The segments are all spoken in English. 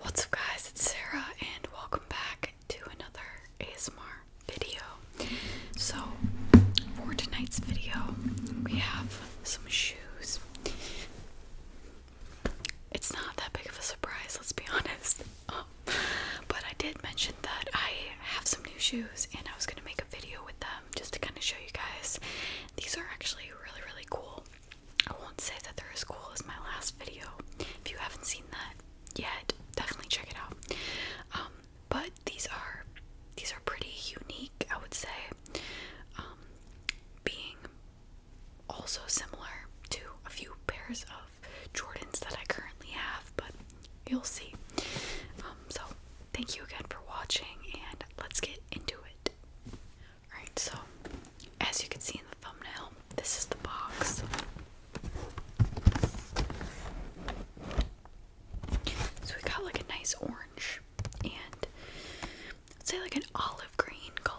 What's up guys, it's Sarah and welcome back to another ASMR video. So for tonight's video, we have some shoes. It's not that big of a surprise, let's be honest. Um, but I did mention that I have some new shoes and I was gonna make a video with them just to kind of show you guys. These are actually really, really cool. I won't say that they're as cool as my last video. If you haven't seen that yet, definitely check it out. Um, but these are these are pretty unique, I would say. Um, being also similar to a few pairs of Jordans that I currently have, but you'll see. Um, so thank you again for watching, and let's get into it. Alright, so as you can see in the thumbnail, this is the box. So we got like a nice orange and let's say like an olive green color.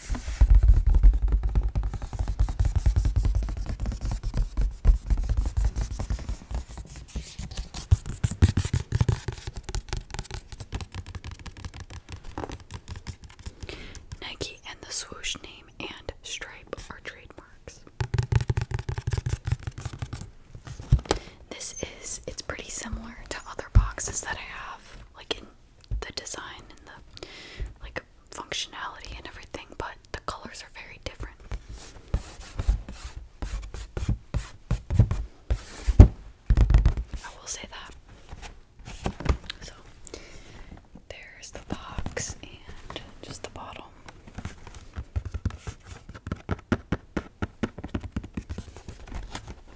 Nike and the swoosh name and stripe are trademarks. This is, it's pretty similar to other boxes that I have, like the design and the like functionality and everything, but the colors are very different. I will say that. So there's the box and just the bottle.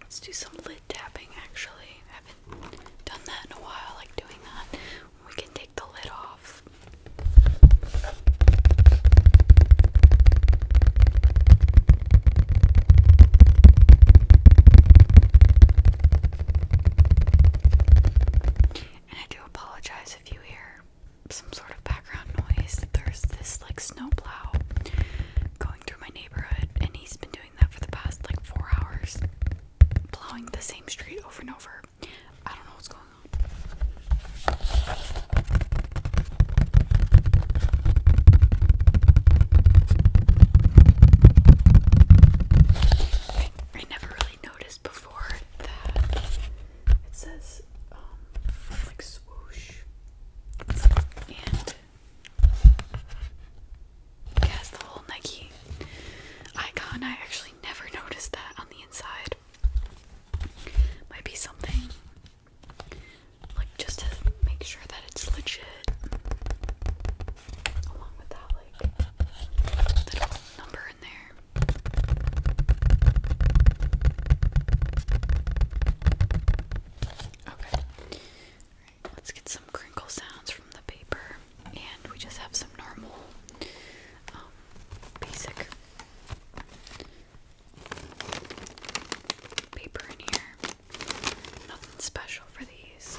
Let's do some lid tapping actually. I haven't done that in a while, I like doing that. We can take the lid off. And I do apologize if you hear some sort of background noise. There's this like snowplow going through my neighborhood, and he's been doing that for the past like four hours, blowing the same street over and over. I don't know what's going on. I, never really noticed before that says um, like swoosh it the whole Nike icon. I actually never noticed that on the inside. Might be something like just to make sure that it's legit. Along with that, like little number in there. Okay let's get some crinkle sounds from the paper. And we just have some normal, um, basic paper in here. Nothing special for these.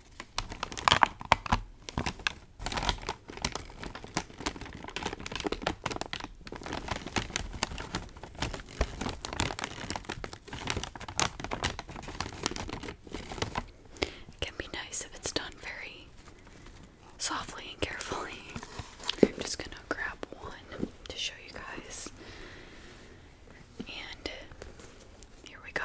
It can be nice if it's done very softly and carefully. I'm just going to grab one to show you guys. And here we go.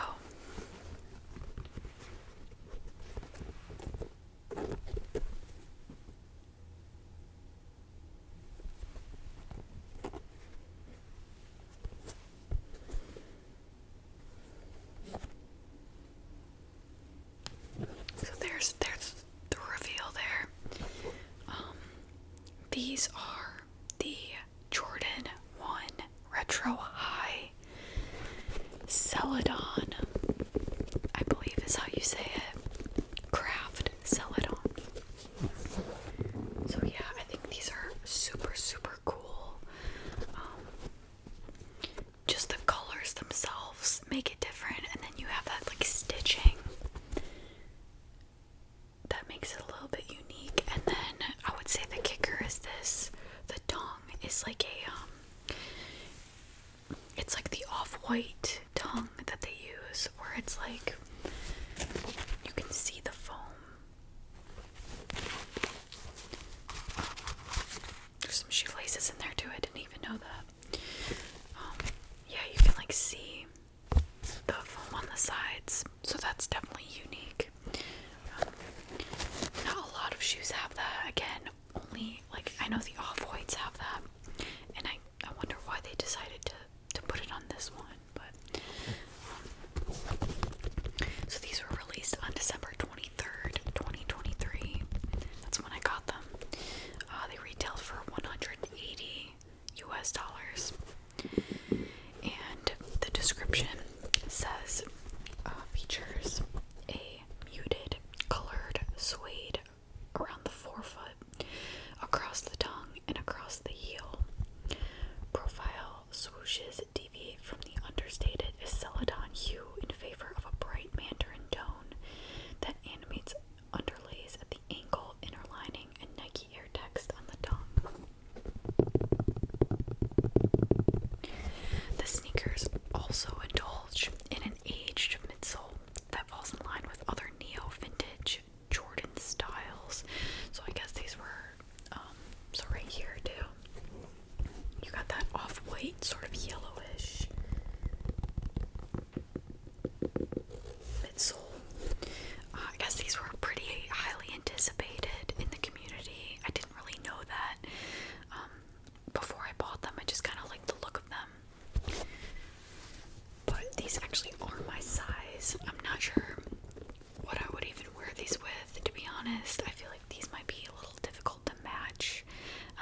So there's there's the reveal there. Um, these are the Jordan 1 Retro High Celadon, I believe is how you say it. Craft Celadon. So, yeah, I think these are super, super cool. Um, just the colors themselves make it different, and then you have that like stitching that makes it a little bit unique. And then I would say the kicker is this the dong is like a, um, it's like the off white tongue that they use, where it's like you can see the foam. There's some shoelaces in there too, I didn't even know that. Um, yeah, you can like see the foam on the sides so that's definitely unique. Um, not a lot of shoes have that. Again, only like I know the off whites have that, and I I wonder why they decided to to put it on this one. But um, so these were released on December twenty third, twenty twenty three. That's when I got them. Uh, they retailed for one hundred and eighty U.S. dollars. And the description says uh, features a muted, colored suede around the forefoot, across the tongue, and across the heel. Profile swooshes deviate from the understated celadon hue in favor of a bright mandarin tone that animates underlays at the ankle, inner lining, and Nike Air text on the tongue. The sneakers also indulge in an aged midsole that falls in line with other neo vintage Jordan styles. So I guess these were, um, so right here too. You got that off white, sort of yellowish midsole. Uh, I guess these were pretty highly anticipated in the community. I didn't really know that um, before I bought them. I just kind of liked the look of them. But these actually are my size. I'm not sure what I would even wear these with, to be honest. I feel like these might be a little difficult to match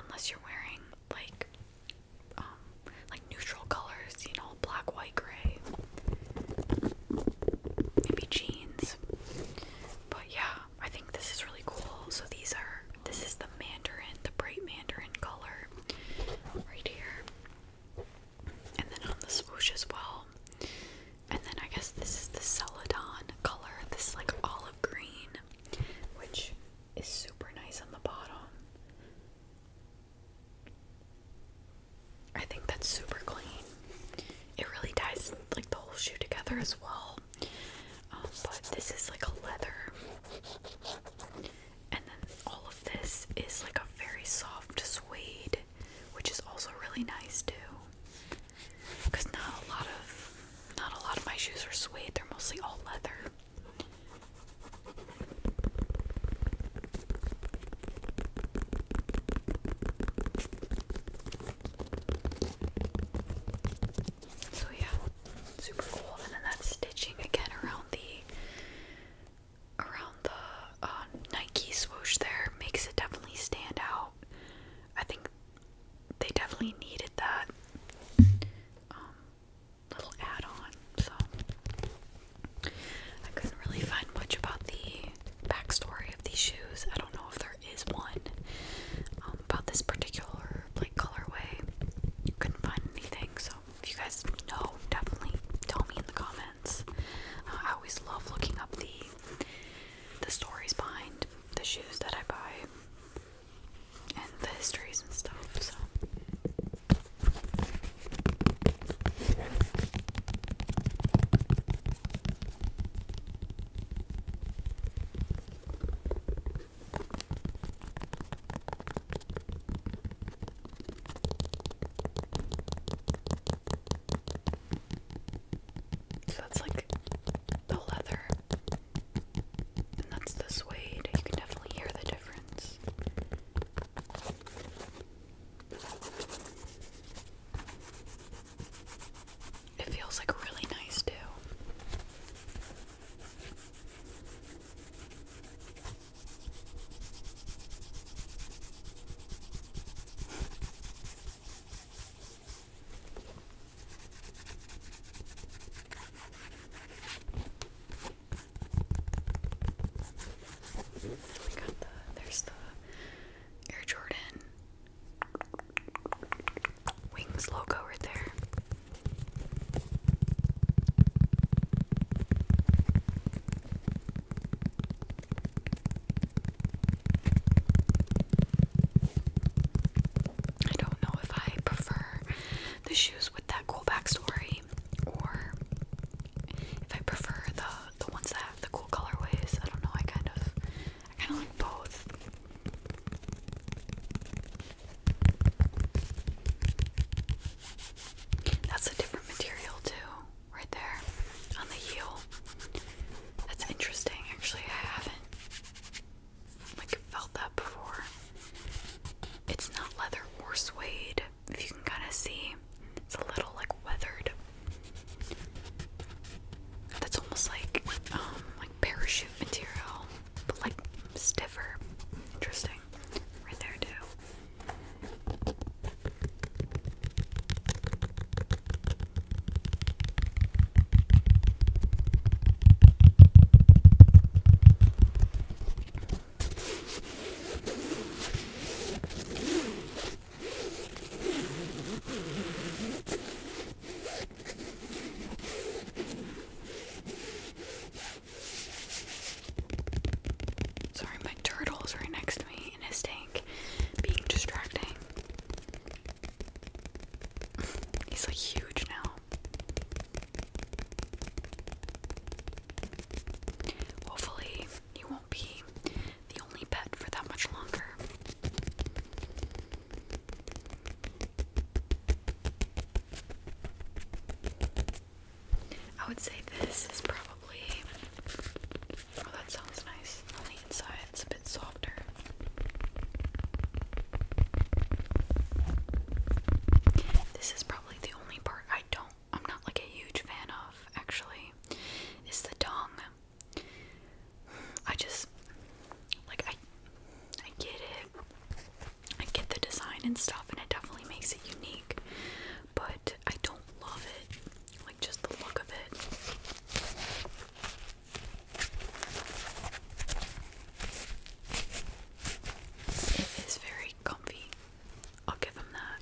unless you're wearing like um, like neutral colors, you know, black, white, gray maybe jeans. But yeah, I think this is really cool. So these are this is the mandarin, the bright mandarin color right here. And then on the swoosh as well. And then I guess this is the celadon color, this like olive green, which is super nice on the bottom. I think that's super clean. It really ties like the whole shoe together as well. Um, but this is like a leather, and then all of this is like a very soft suede, which is also really nice too. Cause not a lot of not a lot of my shoes are suede; they're mostly all leather. So yeah, super cool. And then that's stitching again around the around the uh, Nike swoosh there makes it definitely stand out. I think they definitely needed that um, little add-on. So I couldn't really find much about the backstory of these shoes. I don't know if there is one um, about this particular like colorway. Couldn't find anything, so if you guys know, definitely tell me in the comments. Uh, I always love looking up the the stories behind the shoes that I buy and the histories and stuff. So. So that's like the leather, and that's the suede. You can definitely hear the difference. It feels like really nice too. We got the there's the Air Jordan Wings logo right there. I don't know if I prefer the shoes with that cool backstory or if I prefer the the ones that have the cool colorways. I don't know. I kind of, I kind of like both. That's a different material too, right there on the heel. That's interesting. Actually, I haven't like felt that before. It's not leather or suede. If you can kind of see, it's a little like weathered. That's almost like um like parachute material, but like stiffer. Interesting. Right there too. Sorry, my turtle is right next to me in his tank, being distracting. He's like huge now. Hopefully, he won't be the only pet for that much longer. I would say this is probably. Oh, that sounds nice. On the inside, it's a bit softer. This is probably the only part I don't I'm not like a huge fan of actually It's the dong. I just like I I get it. I get the design and stuff and it definitely makes it unique, but I don't love it. Like just the look of it. It is very comfy. I'll give him that.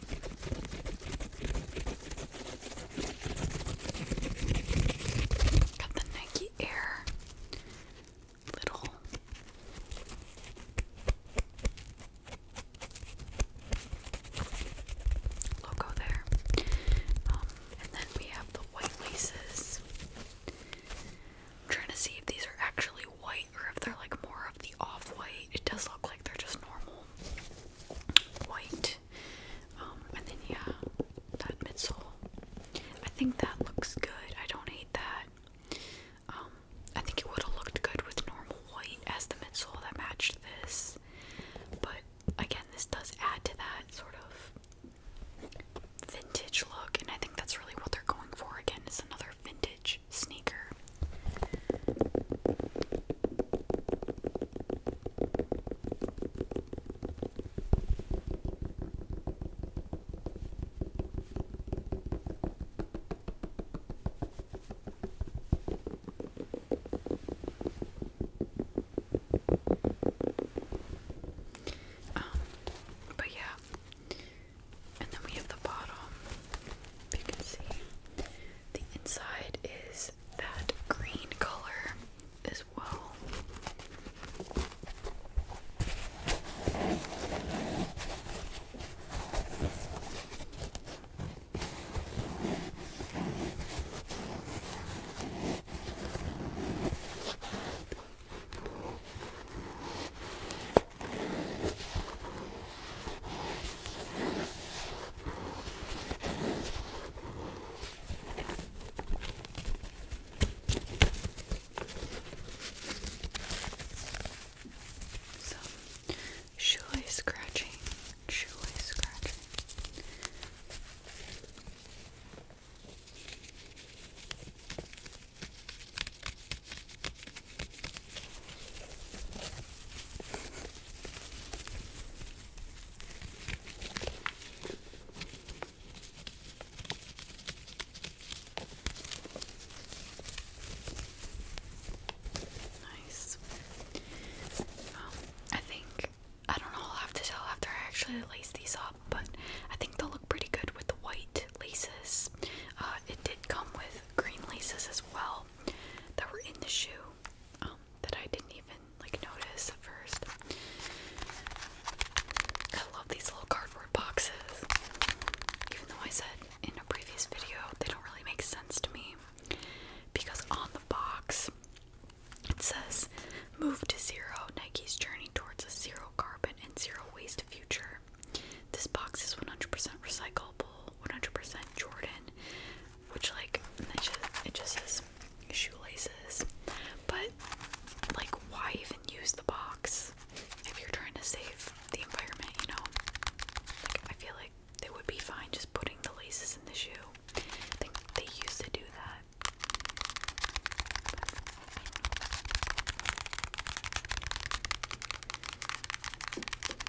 Got the Nike Air little logo there. Um, and then we have the white laces. I'm trying to see if these are actually white or if they're like more of the off-white. It does look like they're just normal white. Um, and then yeah, that midsole. I think that looks good. I don't hate that. Um, I think it would have looked good with normal white as the midsole that matched this. But again, this does add to that sort of vintage look, and I think that's really what they're going for. Again, it's another vintage sneaker. Um, but yeah, and then we have the bottom. If you can see, the inside is that green color as well. So, shoelace scratching, shoelace scratching. Nice. Um, I think I don't know. I'll have to tell after I actually lace these up, but I think they'll look pretty good with the white laces. Uh, it did come with green laces as well, that were in the shoe um, that I didn't even like notice at first. I love these little cardboard boxes. Even though I said in a previous video they don't really make sense to me because on the box it says move to zero Nike's journey towards a zero carbon and zero waste future this box is 100% recyclable, 100% Jordan, which like it just, it just says shoelaces. But like, why even use the box if you're trying to save the environment? You know, like I feel like they would be fine just putting the laces in the shoe. I think they used to do that.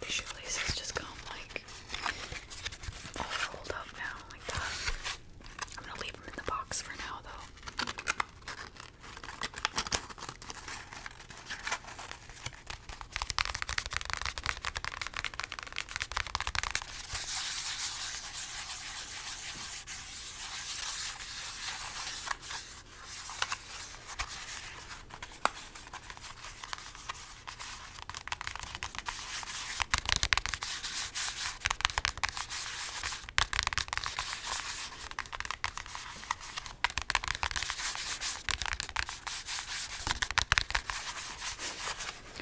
the shoelaces just come like all rolled now, like that. I'm gonna leave them in the box for now, though. All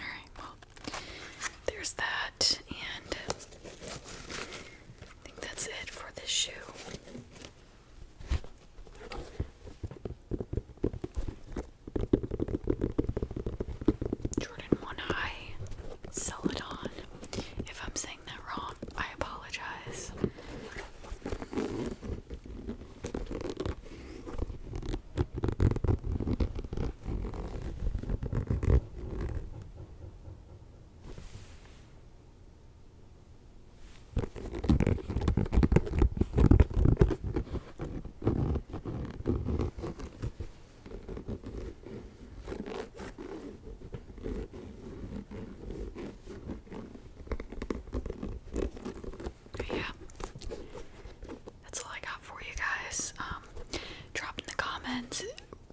right, well, there's that, and I think that's it for this shoe. Jordan One Eye Celadon. If I'm saying that wrong, I apologize. Yeah. That's all I got for you guys. Um, drop in the comments,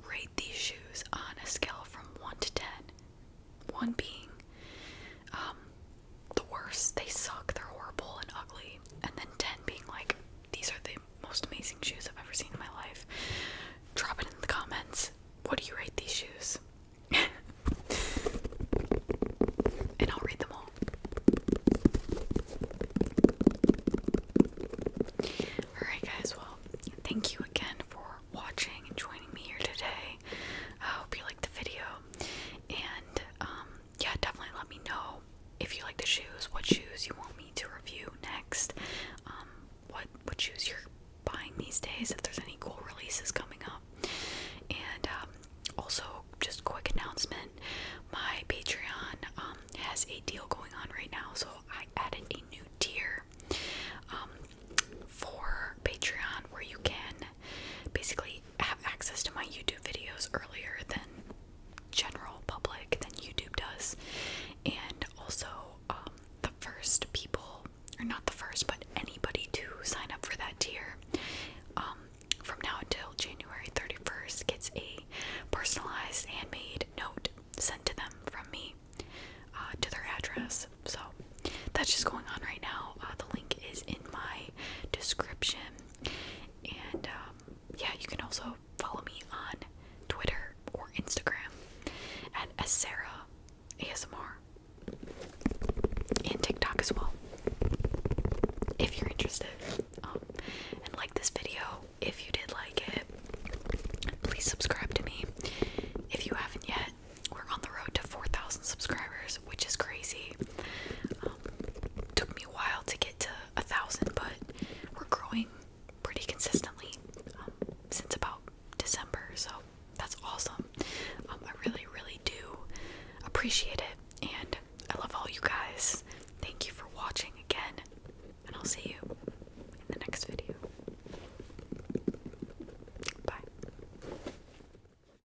rate these shoes on a scale from 1 to 10. 1 being um, the worst. They suck. They're horrible and ugly. And then 10 being like, these are the most amazing shoes I've ever seen in my life. Drop it in the comments. What do you rate these shoes? and I'll read them all. Alright, guys, well, thank you again for watching and joining me here today. I hope you liked the video. And, um, yeah, definitely let me know if you like the shoes, what shoes you want me to review next, um, what what shoes you're buying these days, if there's any cool releases coming up, and um, also just quick announcement: my Patreon um, has a deal going on right now, so I added a new tier um, for Patreon where you can basically have access to my YouTube videos earlier than general public than YouTube does, and also um, the first people, or not the first, but anybody to sign up for that tier um, from now until January 31st gets a personalized handmade note sent to them from me uh, to their address. So that's just going on right now. Uh, the link is in my description and um, yeah, you can also follow me on Twitter or Instagram at Asara ASMR and TikTok as well. If you're interested. Um, and like this video if you did like it. Please subscribe to me if you haven't yet. We're on the road to 4,000 subscribers, which is crazy. Took me a while to get to a thousand, but we're growing pretty consistently um, since about December, so that's awesome. Um, I really, really do appreciate it, and I love all you guys. Thank you for watching again, and I'll see you in the next video. Bye.